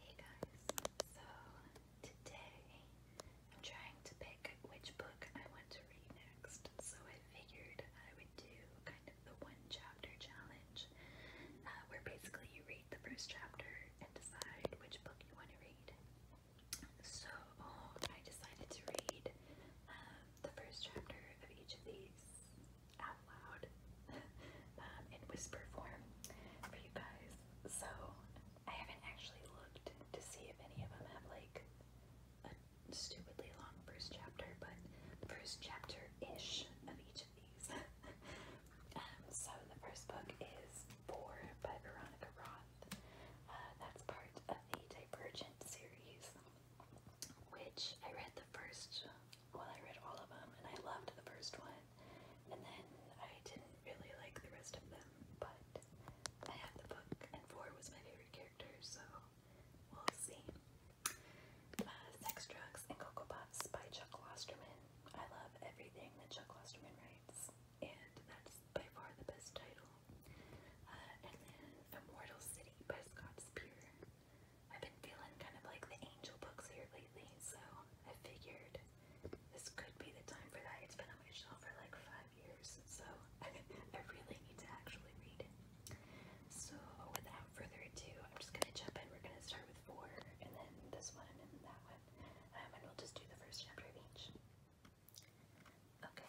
Hey guys, so today I'm trying to pick which book I want to read next, so I figured I would do kind of the one chapter challenge uh, where basically you read the first chapter and decide which book you want to read. So I decided to read uh, the first chapter of each of these out loud um, in whisper form for you guys. So I haven't actually looked to see if any of them have like a stupidly long first chapter, but first chapter-ish of each of these. um, so the first book is Four by Veronica Roth. Uh, that's part of the Divergent series, which I read the first well, I read all of them and I loved the first one, and then I didn't really like the rest of them, but I have the book, and four was my favorite character, so we'll see. Uh, Sex, Drugs, and Cocoa by Chuck Klosterman. I love everything that Chuck Klosterman writes, and that's by far the best title. Uh, and then Immortal City by Scott Spear. I've been feeling kind of like the angel books here lately, so I figured this could be the time for that. It's been on my shelf for like five years, so I really need to actually read it. So without further ado, I'm just gonna jump in. We're gonna start with four, and then this one, and then that one, um, and we'll just do the first chapter of each. Okay,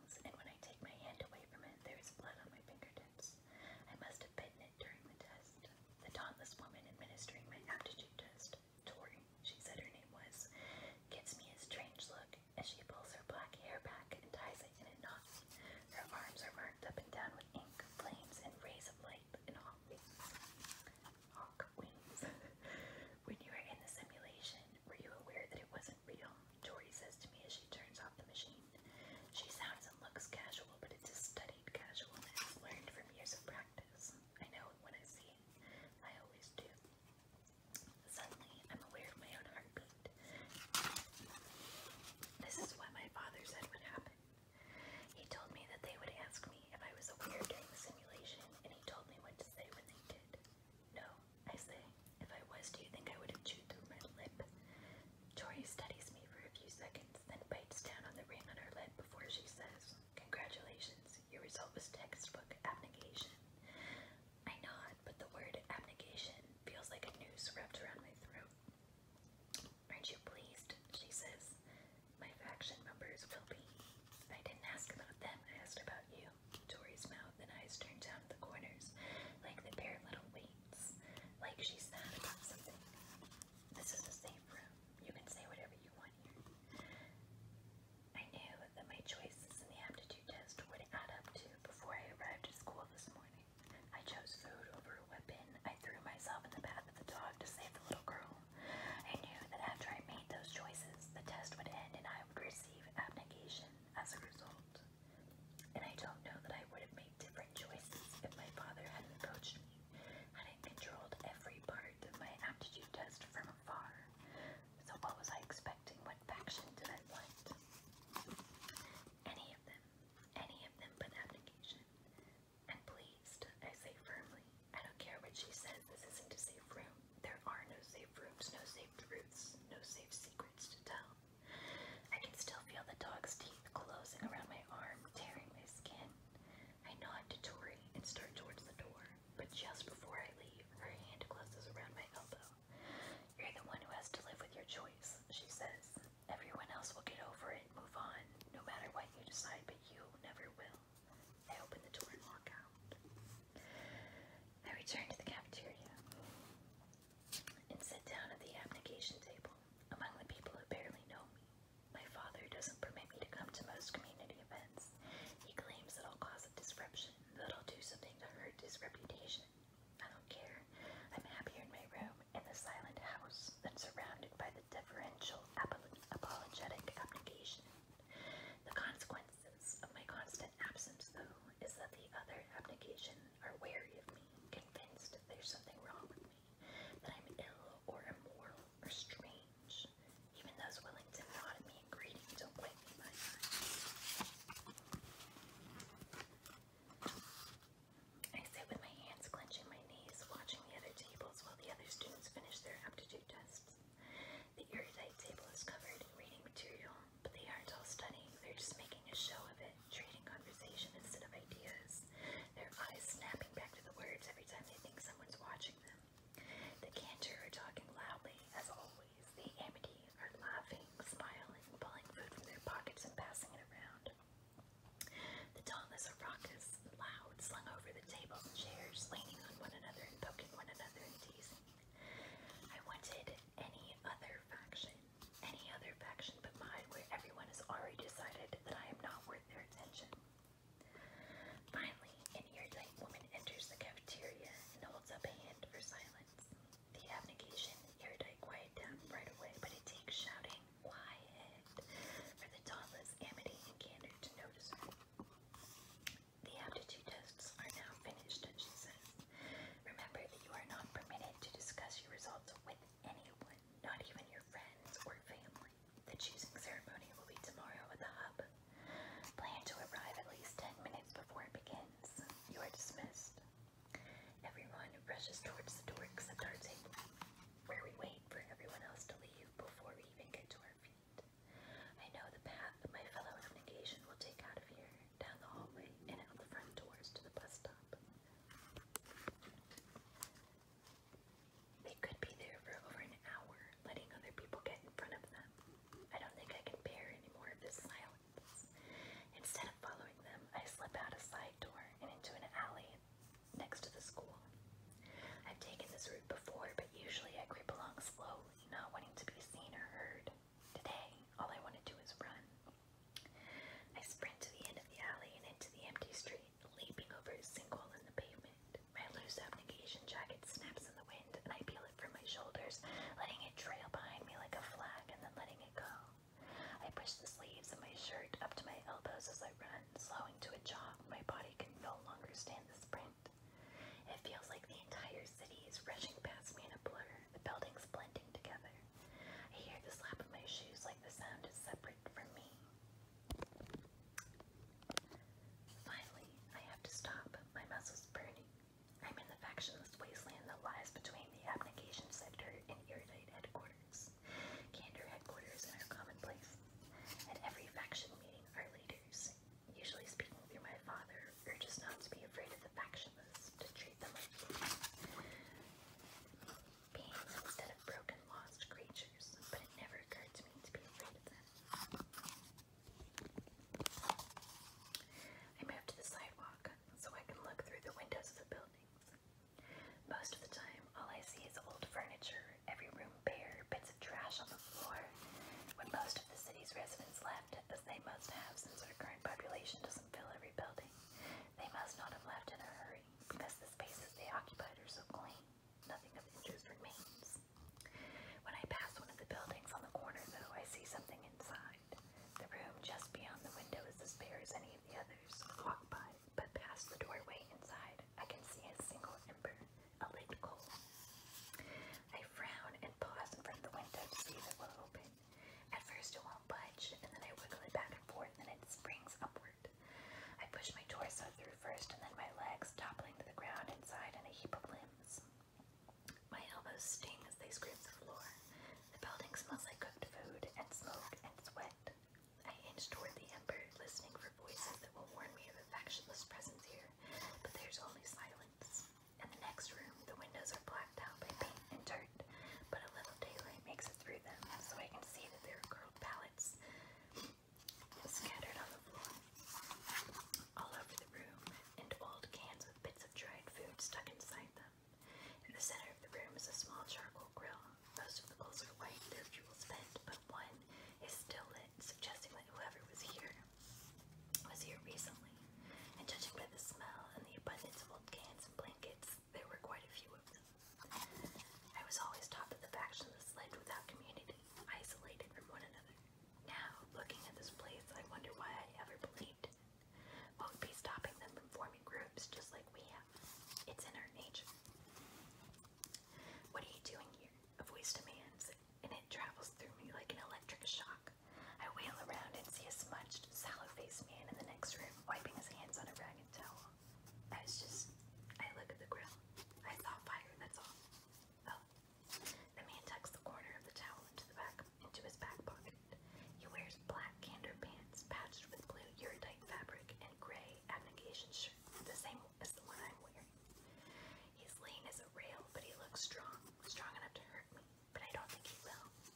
and when I take my hand away from it, there is blood on my fingertips. I must have bitten it during the test. The dauntless woman administering my aptitude test, Tory, she said her name was, gives me a strange look as she pulls her black hair back and ties it in a knot. Her arms are marked up and down with ink, flames, and rays of light and hawk wings. when you were in the simulation, were you aware that it was isn't real, Tori says to me as she turns off the machine. She sounds and looks casual, but it's a studied casualness learned from years of practice. I know it when I see it. I always do. Suddenly, I'm aware of my own heartbeat. This is what my father said would happen. He told me that they would ask me if I was aware during the simulation, and he told me what to say when they did. No, I say. If I was, do you think I would have chewed through my lip? Tori studies me for a few seconds, then bites down on the ring on her lip before she says, Congratulations, your result was textbook abnegation. I nod, but the word abnegation feels like a noose wrapped around my throat. Aren't you pleased? She says. My faction members will be. I didn't ask about them, I asked about you. Tori's mouth and eyes turned down the corners, like the bare little weights, like she's sad about something. This is a safe room. You can say whatever you want here. I knew that my choices in the aptitude test would add up to before I arrived at school this morning. I chose food over a weapon. I threw myself in the path of the dog to save the little girl. I knew that after I made those choices, the test would end and I would receive abnegation as a result. And I don't know that I would have made different choices if my father hadn't coached me, and not controlled every part of my aptitude test from afar. So what was I expecting? What faction did I want? Any of them. Any of them but abnegation. And pleased, I say firmly, I don't care what she says, this isn't a safe room. There are no safe rooms, no safe truths, no safe secrets to tell. I can still feel the dog's teeth closing around my arm, tearing my skin. I nod to Tori and start towards the door, but just before I leave, her hand closes around my elbow. You're the one who has to live with your choice, she says. Everyone else will get over it, move on, no matter what you decide, but you never will. I open the door and walk out. I return to the cafeteria and sit down at the abnegation table among the people who barely know me. My father doesn't permit me to come to most community events. He claims that I'll cause a disruption, that I'll do something to hurt his reputation. I don't care. I'm happier in my room, in the silent house, than surrounded by the deferential, apologetic abnegation. The consequences of my constant absence, though, is that the other abnegation are wary of me, convinced there's something wrong with me, that I'm ill or immoral or strange. Even those willing to nod at me in greeting don't wipe me my I sit with my hands clenching my knees, watching the other tables while the other students finish their aptitude tests. The erudite table is covered in reading material, but they aren't all stunning, they're just making a show of it, trading conversation instead of ideas, their eyes snapping back to the words every time they think someone's watching them. The cantor are talking loudly, as always. The amity are laughing, smiling, pulling food from their pockets and passing it around. The dauntless are raucous, loud, slung over the table and chairs, leaning on one another and poking one another in teasing. I wanted any other faction any other faction but mine where everyone has already decided that I am not worth their attention. Finally, an ear woman enters the cafeteria and holds up a hand for silence. The abnegation erudite quiet down right away, but it takes shouting, quiet, for the dauntless amity and candor to notice her. The aptitude tests are now finished, she says. Remember that you are not permitted to discuss your results with anyone, not even your friends or family. The choosing ceremony will be tomorrow at the hub. Plan to arrive at least 10 minutes before it begins. You are dismissed. Everyone rushes towards the door except our table, where we wait for everyone else to leave before we even get to our feet. I know the path my fellow negation will take out of here down the hallway, and out the front doors to the bus stop. They could be there for over an hour, letting other people get in front of them. I don't think I can bear any more of this silence. Instead of following them, I slip out a side door and into an alley next to the school. I've taken this route before, but usually I creep along slowly, not wanting to be seen or heard. Today, all I want to do is run. I sprint to the end of the alley and into the empty street, leaping over a sinkhole in the pavement. My loose abnegation jacket snaps in the wind, and I peel it from my shoulders, letting it trail behind me like a flag and then letting it go. I push the sleeves of my shirt up to my elbows as I run, slowing to a jog. My body can no longer stand the sprint. It feels like the entire city is rushing past me in a blur, the buildings blending together. I hear the slap of my shoes like the sound is separate from me. Finally, I have to stop. My muscles burning. I'm in the factionless wasteland that lies between the abnegation sector and Iridite headquarters. Candor headquarters are commonplace. At every faction meeting are leaders, usually speaking through my father urges not to be afraid of the factionless, to treat them like beings. Beings instead of broken, lost creatures, but it never occurred to me to be afraid of them. I moved to the sidewalk so I can look through the windows of the buildings. Most of the time, all I see is old furniture, every room bare, bits of trash on the floor. When most of the city's residents left, as they must have since our current population doesn't fill every building. They must not have left in a hurry, because the spaces they occupied are so clean. Nothing of interest remains. When I pass one of the buildings on the corner, though, I see something inside. The room just beyond the window is as bare as any of the others. Walk by, but past the doorway inside, I can see a single ember, a lit coal. I frown and pause in front of the window to see if it will open. At first it won't budge, and then I wiggle it back and forth, and then it springs upward. I push my torso through first, and then my legs, toppling to the ground inside in a heap of limbs. My elbows sting as they scrape the floor. The building smells like cooked food and smoke and sweat. I hinge toward the ember, listening for voices that will warn me of affectionless factionless presence here, but there's only silence. In the next room, the windows are blacked out by paint and dirt, but a little daylight makes it through them, so I can see that there are curled pallets scattered on the floor. All over the room, and old cans with bits of dried food stuck inside them. In the center of the room is a small charcoal grill. Most of the coals are white, their fuel spent, but one is still lit, suggesting that whoever was here was here recently. And judging by the smell and the abundance of wolfgans and blankets. There were quite a few of them. I was always taught that the factionless lived without community, isolated from one another. Now, looking at this place, I wonder why I ever believed it. What would be stopping them from forming groups just like we have? It's in our nature. What are you doing here? A voice demands, and it travels through me like an electric shock. I wheel around and see a smudged, sallow-faced man in the next room wiping his hands on a ragged towel. I just... I look at the grill. I saw fire, that's all. Oh. The man tucks the corner of the towel into the back, into his back pocket. He wears black candor pants patched with blue uridite fabric and gray abnegation shirt, the same as the one I'm wearing. He's lean as a rail, but he looks strong, strong enough to hurt me, but I don't think he will.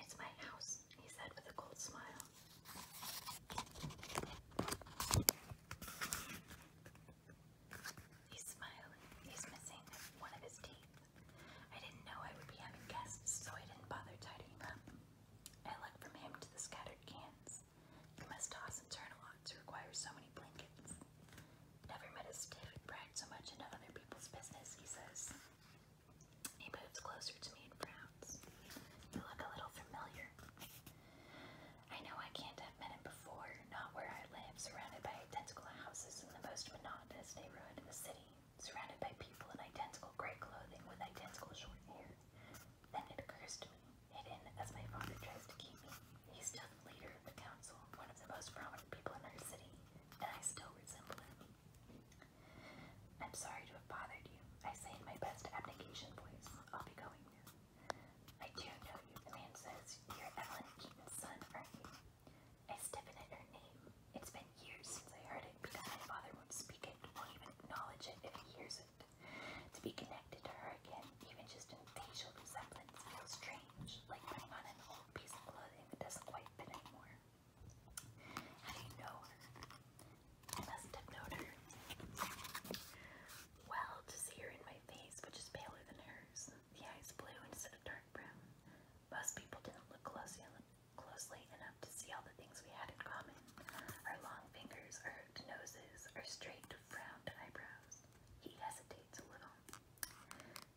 It's my house, he said with a cold smile. He's smiling. He's missing one of his teeth. I didn't know I would be having guests, so I didn't bother tidying up. I looked from him to the scattered cans. He must toss and turn a lot to require so many blankets. Never met a stiff who so much in other people's business, he says. He moves closer to me and frowns. You look a little familiar. I know I can't have met him before, not where I live, surrounded by identical houses in the most monotonous neighborhood in the city, surrounded by people in identical gray clothing with identical short hair. Then it occurs to me, hidden as my father tries to keep me, he's still leader of the council, one of the most prominent people in our city, and I still resemble him. I'm sorry to have bothered you, I say in my best abnegation voice. I'll be going now. I do know you, the man says. You're Evelyn Keaton's son, are you? I stiffen at her name. It's been years since I heard it because my father won't speak it, won't even acknowledge it if he hears it. To be connected to her again, even just in facial resemblance, feels strange, like putting on an old piece of clothing that doesn't quite fit anymore. I do you know her? must have known her. Well, to see her in my face, which is paler than hers, the eyes blue instead of dark brown. Most people didn't look closely, enough to see all the things we had in common. Our long fingers, our noses, our straight, frowned eyebrows. He hesitates a little.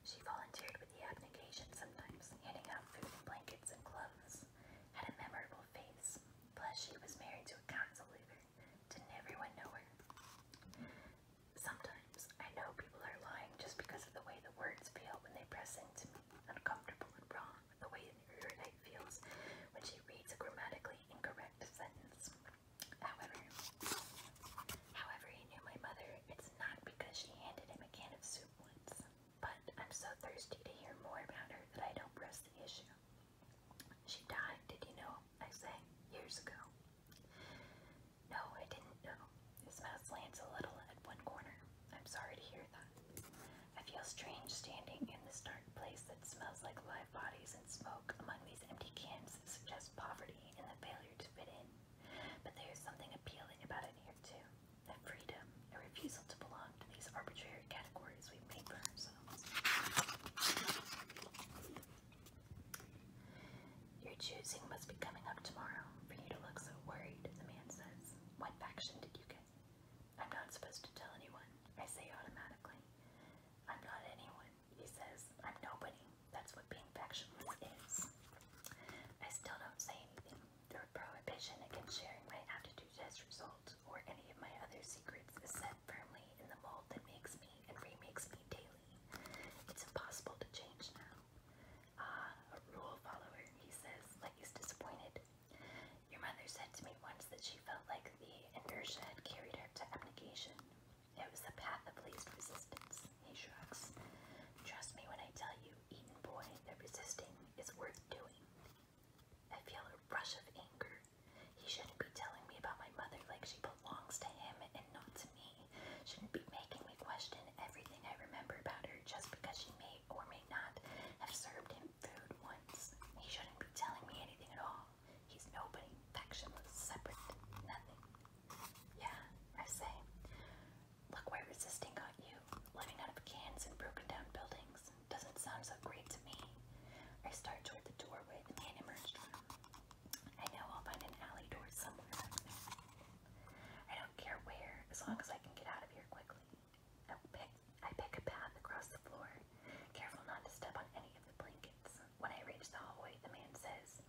She volunteered with the abnegation sometimes, handing out food blankets and clothes had a memorable face, plus she was married to a council leader. Didn't everyone know her? Sometimes I know people are lying just because of the way the words feel when they press into me, uncomfortable and wrong, the way Erudite feels when she reads a grammatically incorrect sentence. However, however he knew my mother, it's not because she handed him a can of soup once but I'm so thirsty to hear more about her that I don't press the issue. She died, did you know? I say, years ago. No, I didn't know. His mouth slants a little at one corner. I'm sorry to hear that. I feel strange standing in this dark place that smells like live bodies and smoke among these empty cans that suggest poverty and the failure to fit in. But there is something appealing about it here, too and freedom, a refusal to belong to these arbitrary categories we made for ourselves. Your choosing must be coming up tomorrow for you to look so worried, the man says. What faction did you get? I'm not supposed to tell anyone, I say automatically. I'm not anyone, he says. I'm nobody. That's what being factionless is. I still don't say anything. Your prohibition against sharing my aptitude test results or any of my other secrets is set firmly in the mold that makes me and remakes me daily. It's impossible to change now. Ah, a rule follower, he says, like he's disappointed. Your mother said to me once that she felt like the inertia had carried her to abnegation. It was the path of least resistance, he shrugs. Trust me when I tell you, Eaton boy, that resisting is worth doing. I feel a rush of anger. He shouldn't be telling me about my mother like she belongs to him and not to me. Shouldn't be making me question everything I remember about her just because she may or may not have served him food once. He shouldn't be telling me anything at all. He's nobody, factionless, separate, nothing. Yeah, I say. Look why resisting got you. Living out of cans and broken down buildings doesn't sound so great to me. I start toward the doorway the man emerged from. I know I'll find an alley door somewhere back there. I don't care where, as long as I can get out of here quickly. I pick, a path across the floor, careful not to step on any of the blankets. When I reach the hallway, the man says,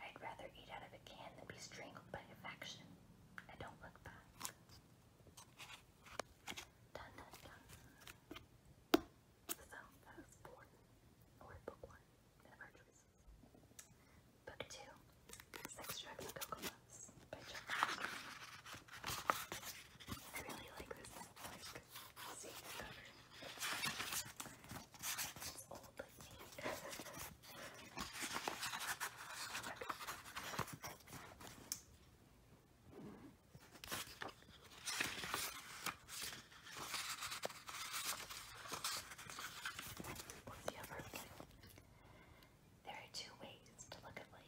I'd rather eat out of a can than be strangled by a faction. I don't look back. Dun, dun, So book one of our Book two, Six Drugs and Cocoa by John I really like this like seed cover. It's old like me. There are two ways to look at life.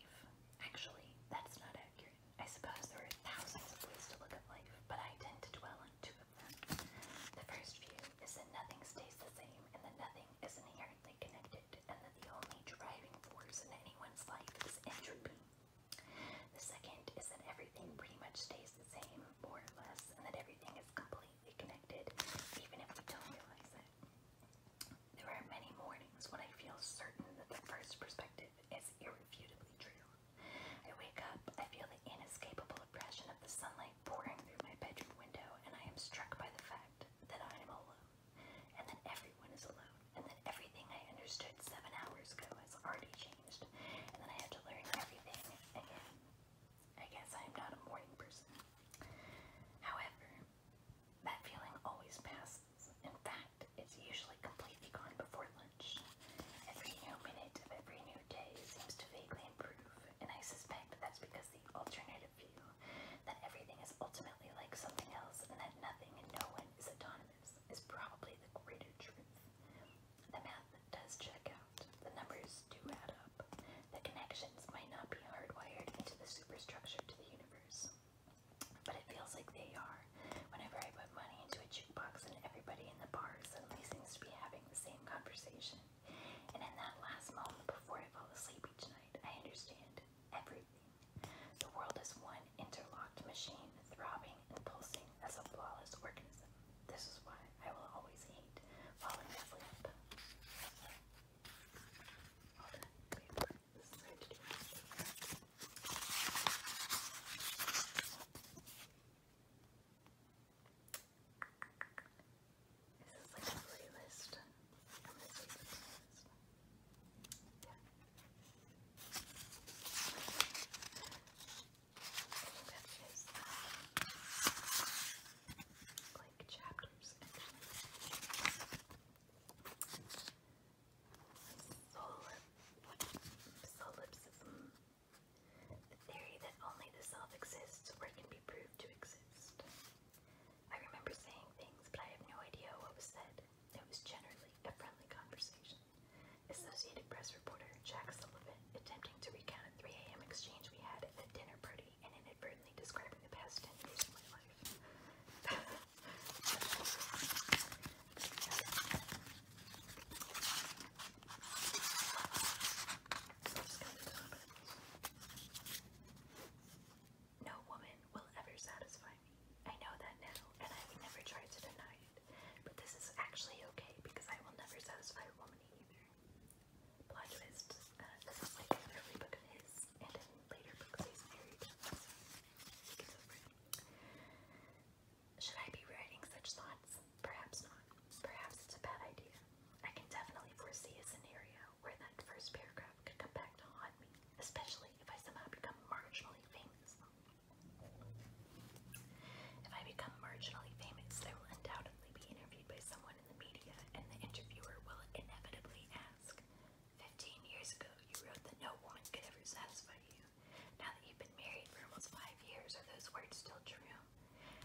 Actually, that's not accurate. I suppose there are thousands of ways to look at life, but I tend to dwell on two of them. The first view is that nothing stays the same and that nothing is inherently inherently connected, and that the only driving force in anyone's life is entropy. The second is that everything pretty much stays the same, more or less, and that everything is completely connected, even if we don't realize it. There are many mornings when I feel certain that the first perspective is irrefutably true. I wake up, I feel the inescapable oppression of the sunlight pouring through my bedroom window, and I am struck by the fact that I am alone. And then everyone is alone. And then everything I understood seven hours ago has already changed. And then I had to learn everything again. I guess I am not a morning person. However, that feeling always passes. In fact, it's usually completely gone before lunch. Every new minute of every new day seems to vaguely improve, and I suspect that's because the alternative that everything is ultimately like something else and that nothing and no one is autonomous is probably the greater truth. The math does check out, the numbers do add up, the connections might not be hardwired into the superstructure to the universe. But it feels like they are whenever I put money into a jukebox and everybody in the bar suddenly seems to be having the same conversation. And in that last moment before I fall asleep each night, I understand everything. The world is one interlocked machine, throbbing and pulsing as a flawless organism. This is why I will always hate falling asleep. All that paper. This is going to do this is like a playlist. Yeah. like chapters Solipsism. The theory that only the self exists or can be proved to exist. I remember saying things, but I have no idea what was said. It was generally a friendly conversation. Associated Press reporter Jack Sullivan, attempting to recount a 3 a.m. exchange we had at a dinner party and inadvertently describing the past 10 years of my life. No woman will ever satisfy me. I know that now, and I would never try to deny it. But this is actually okay because I will never satisfy a woman either. Plot uh, like an book of his, and later books he's married. Should I be writing such thoughts? Perhaps not. Perhaps it's a bad idea. I can definitely foresee a scenario where that first paragraph could come back to haunt me, especially if I somehow become marginally famous. If I become marginally famous, I will undoubtedly be interviewed by someone in the media, and the interviewer will inevitably ask, 15 years ago, you wrote that no woman could ever satisfy you. Now that you've been married for almost five years, are those words still true?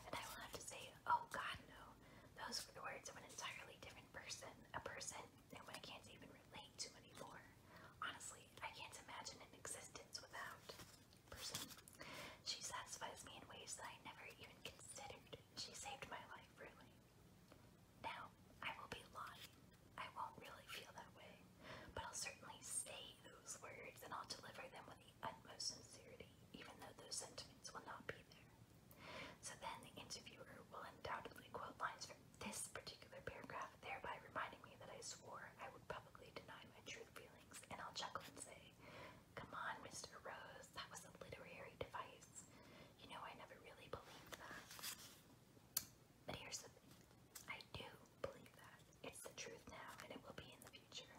And I will have to say, oh God, no. Those words of an entirely different person, a person that I can't even relate to anymore. Honestly, I can't imagine an existence without person. She satisfies me in ways that I never even considered. She saved my life, really. Now, I will be lost. I won't really feel that way, but I'll certainly say those words and I'll deliver them with the utmost sincerity, even though those sentiments will not be there. So then the interviewer will undoubtedly quote lines from this particular paragraph, thereby reminding me that I swore I would publicly deny my true feelings, and I'll chuckle and say, Come on, Mr. Rose, that was a literary device. You know, I never really believed that. But here's the thing I do believe that. It's the truth now, and it will be in the future.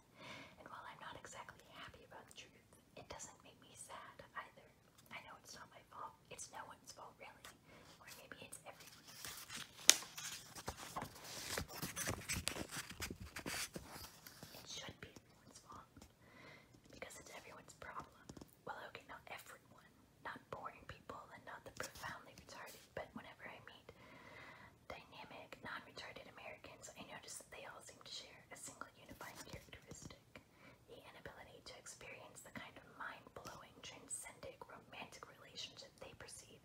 And while I'm not exactly happy about the truth, it doesn't make me sad either. I know it's not my fault. It's no one's fault, really. Or maybe it's everyone's. It should be everyone's fault. Because it's everyone's problem. Well, okay, not everyone. Not boring people and not the profoundly retarded, but whenever I meet dynamic, non retarded Americans, I notice they all seem to share a single unifying characteristic. The inability to experience the kind of mind blowing, transcendent, romantic relationship they perceive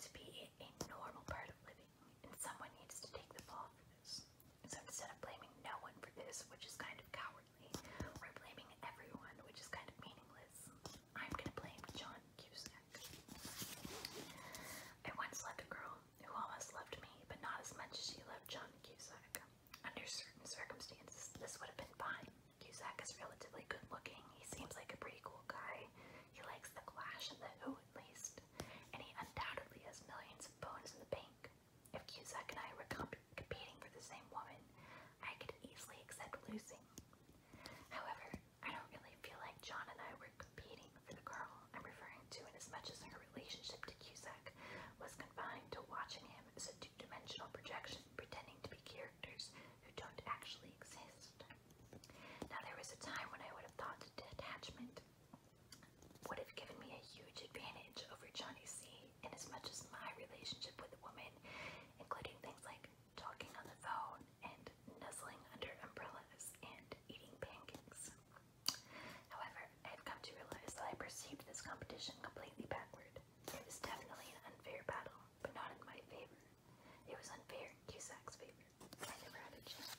to be a normal part of living, and someone needs to take the fall for this. So instead of blaming no one for this, which is kind of cowardly, or blaming everyone, which is kind of meaningless, I'm gonna blame John Cusack. I once loved a girl who almost loved me, but not as much as she loved John Cusack. Under certain circumstances, this would have been fine. Cusack is relatively good looking. He seems like a pretty cool guy. He likes the Clash and the Who at least. And he undoubtedly has millions of bones in the bank. If Cusack and I were comp competing for the same woman, I could easily accept losing. However, I don't really feel like John and I were competing for the girl I'm referring to in as much as her relationship to Cusack was confined to watching him as a two dimensional projection pretending to be characters who don't actually exist. Now, there was a time when I would have thought detachment would have given me a huge advantage over Johnny C, in as much as my relationship with the woman, including things like talking on the phone and nuzzling under umbrellas and eating pancakes. However, I have come to realize that I perceived this competition completely backward. It was definitely an unfair battle, but not in my favor. It was unfair in Cusack's favor. I never had a chance.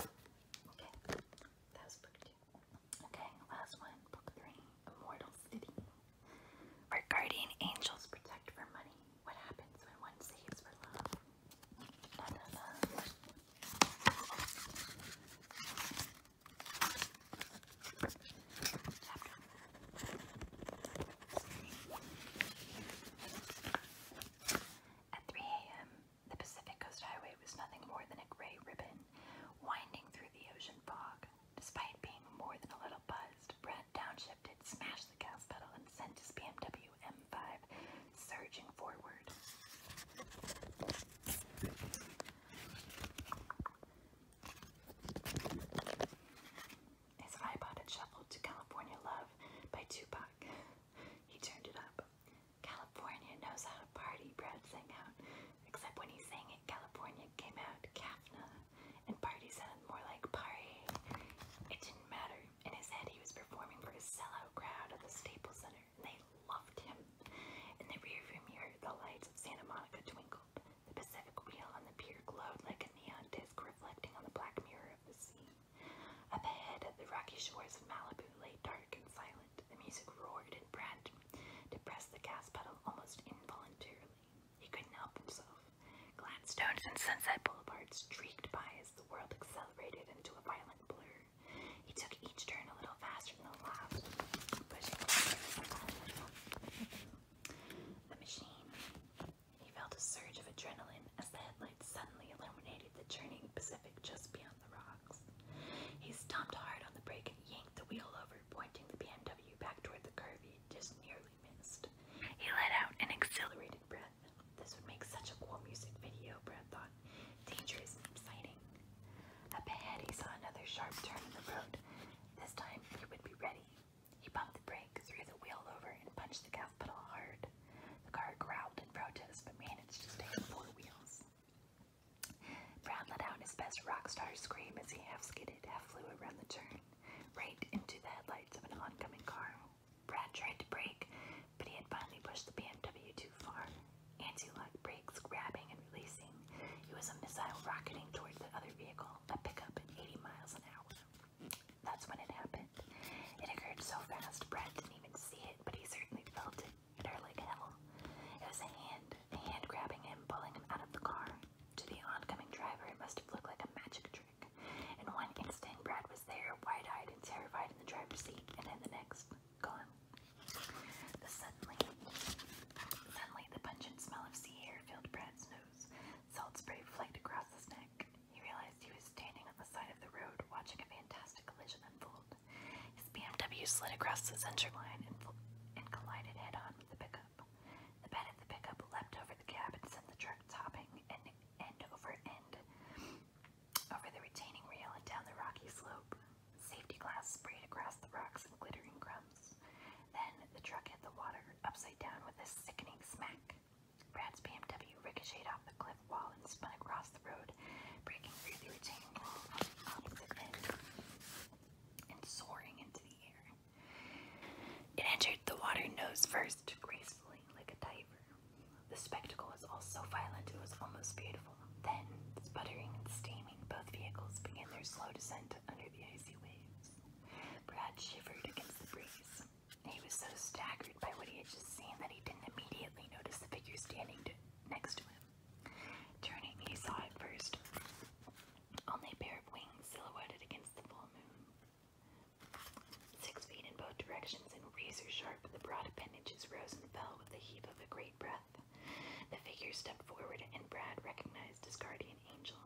Okay, last one, book three, Immortal City. Our guardian angels protect for money. What happens when one saves for love? Da at 3 a.m., the Pacific Coast Highway was nothing more than a gray ribbon winding through the ocean fog. Despite being more than a little buzzed, Brent downshifted, smashed the gas pedal, and sent his BMW M his iPod had shuffled to California Love by Tupac. He turned it up. California knows how to party, Brad sang out. Except when he sang it, California came out Kafna, and party sounded more like party. It didn't matter. In his head, he was performing for a sellout crowd at the Staples Center. They loved him. In the rearview mirror, the lights of Santa Monica twinkled. The Pacific wheel on the pier glowed like a neon disc reflecting on the black mirror of the sea. Up ahead, the rocky shores of Malibu lay dark and silent. The music roared and Brad press the gas pedal almost involuntarily. He couldn't help himself. Gladstone's and Sunset Boulevards streaked by as the world accelerated into a violent blur. He took each turn a little faster than the last, the machine. He felt a surge of adrenaline as the headlights suddenly illuminated the churning Pacific just beyond the rocks. He stomped hard on the brake yanked the wheel over, pointing the BMW back toward the curve just nearly missed. He let out an exhilarated breath this would make such a cool music video, Brad thought. Dangerous, exciting. ahead, he saw another sharp turn in the road. This time, he would be ready. He bumped the brake, threw the wheel over, and punched the gas pedal hard. The car growled in protest, but managed to stay on four wheels. Brad let out his best rock star scream as he half skidded, half flew around the turn, right into the headlights of an oncoming car. Brad tried to brake, but he had finally pushed the BMW too far. Anti-lock brakes grabbing and releasing. He was a missile rocketing towards the other vehicle, a pickup at 80 miles an hour. That's when it happened. It occurred so fast, Brad didn't even see it, but he certainly felt it. It like hell. It was a hand, a hand grabbing him, pulling him out of the car. To the oncoming driver, it must have looked like a magic trick. In one instant, Brad was there, wide-eyed and terrified in the driver's seat, and in the next, gone. The suddenly, suddenly the pungent smell of sea air filled Brad's nose. Salt spray flaked across his neck. He realized he was standing on the side of the road, watching a fantastic collision unfold. His BMW slid across the center line and, and collided head-on with the pickup. The bed of the pickup leapt over the cab and sent the truck topping end, end over end. Over the retaining rail and down the rocky slope, safety glass sprayed across the rocks in glittering crumbs. Then the truck hit the water upside down with a sickening smack. Brad's BMW ricocheted off the cliff wall and spun across the road, breaking through the retaining wall and soaring into the air. It entered the water nose first, gracefully, like a diver. The spectacle was all so violent it was almost beautiful. Then, sputtering and steaming, both vehicles began their slow descent under the icy waves. Brad shivered against the breeze. He was so staggered by what he had just seen that he didn't immediately notice the figure standing next to him. Turning, he saw at first only a pair of wings silhouetted against the full moon. Six feet in both directions and razor sharp, the broad appendages rose and fell with the heave of a great breath. The figure stepped forward, and Brad recognized his guardian angel.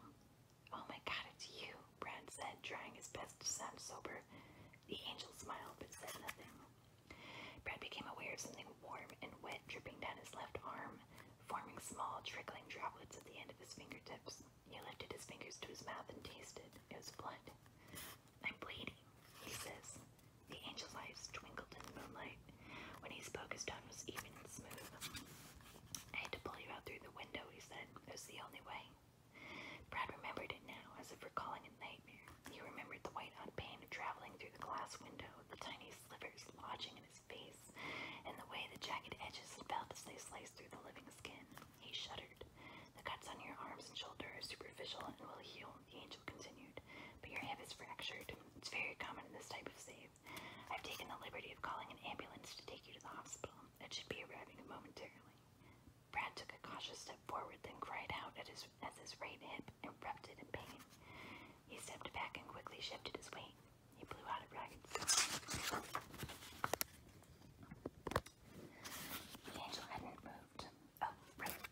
Oh my god, it's you, Brad said, trying his best to sound sober. The angel smiled but said nothing. Brad became aware of something warm and wet dripping down his left arm, forming small, trickling droplets at the end of his fingertips. He lifted his fingers to his mouth and tasted. It was blood. I'm bleeding, he says. The angel's eyes twinkled in the moonlight. When he spoke, his tone was even and smooth. I to pull you out through the window, he said. It the only way. Brad remembered it now, as if recalling a nightmare. He remembered the white hot pain of traveling through the glass window, the tiny slivers lodging in his face, and the way the jagged edges felt as they sliced through the living skin. He shuddered. The cuts on your arms and shoulder are superficial and will heal, the angel continued, but your hip is fractured. It's very common in this type of save. I've taken the liberty of calling an ambulance to take you to the hospital. It should be arriving momentarily. Brad took a cautious step forward, then cried out as his right hip erupted in pain. He stepped back and quickly shifted his weight. He blew out a ragged the angel hadn't moved. Oh, right,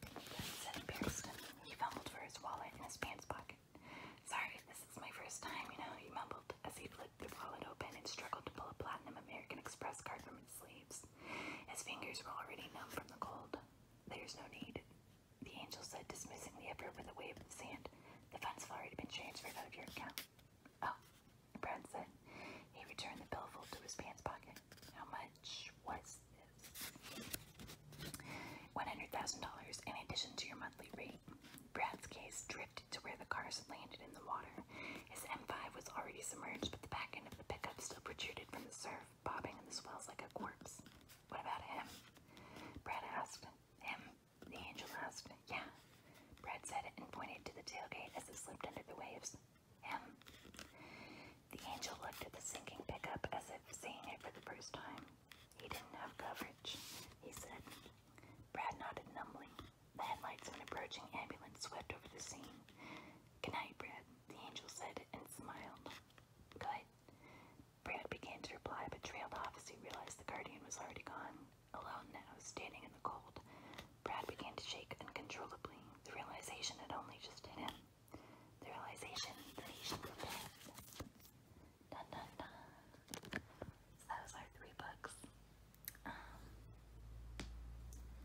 He fumbled for his wallet in his pants pocket. Sorry, this is my first time, you know, he mumbled as he flipped the wallet open and struggled to pull a platinum American Express card from its sleeves. His fingers were already numb from the cold. There's no need, the angel said, dismissing the with a wave of the sand. The funds have already been transferred out of your account. Oh, Brad said, he returned the billfold to his pants pocket. How much was this? $100,000 in addition to your monthly rate. Brad's case drifted to where the cars landed in the water. His M5 was already submerged, but the back end of the pickup still protruded from the surf, bobbing in the swells like a corpse. What about him? Brad asked. Him? The angel asked. Yeah. Brad said and pointed to the tailgate as it slipped under the waves. The angel looked at the sinking pickup as if seeing it for the first time. He didn't have coverage, he said. Brad nodded numbly. The headlights of an approaching ambulance swept over the scene. Good night, Brad, the angel said and smiled. Good. Brad began to reply but trailed off as he realized the guardian was already gone, alone now, standing in the cold. Brad began to shake uncontrollably, the realization had only just hit him. The realization that he should prepare. Dun dun dun. So that three books. Um,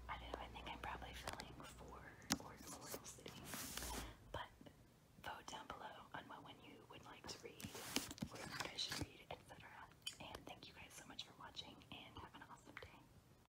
I do I think I'm probably filling four or more cities. But vote down below on what one you would like to read, what I should read, etc. And thank you guys so much for watching and have an awesome day.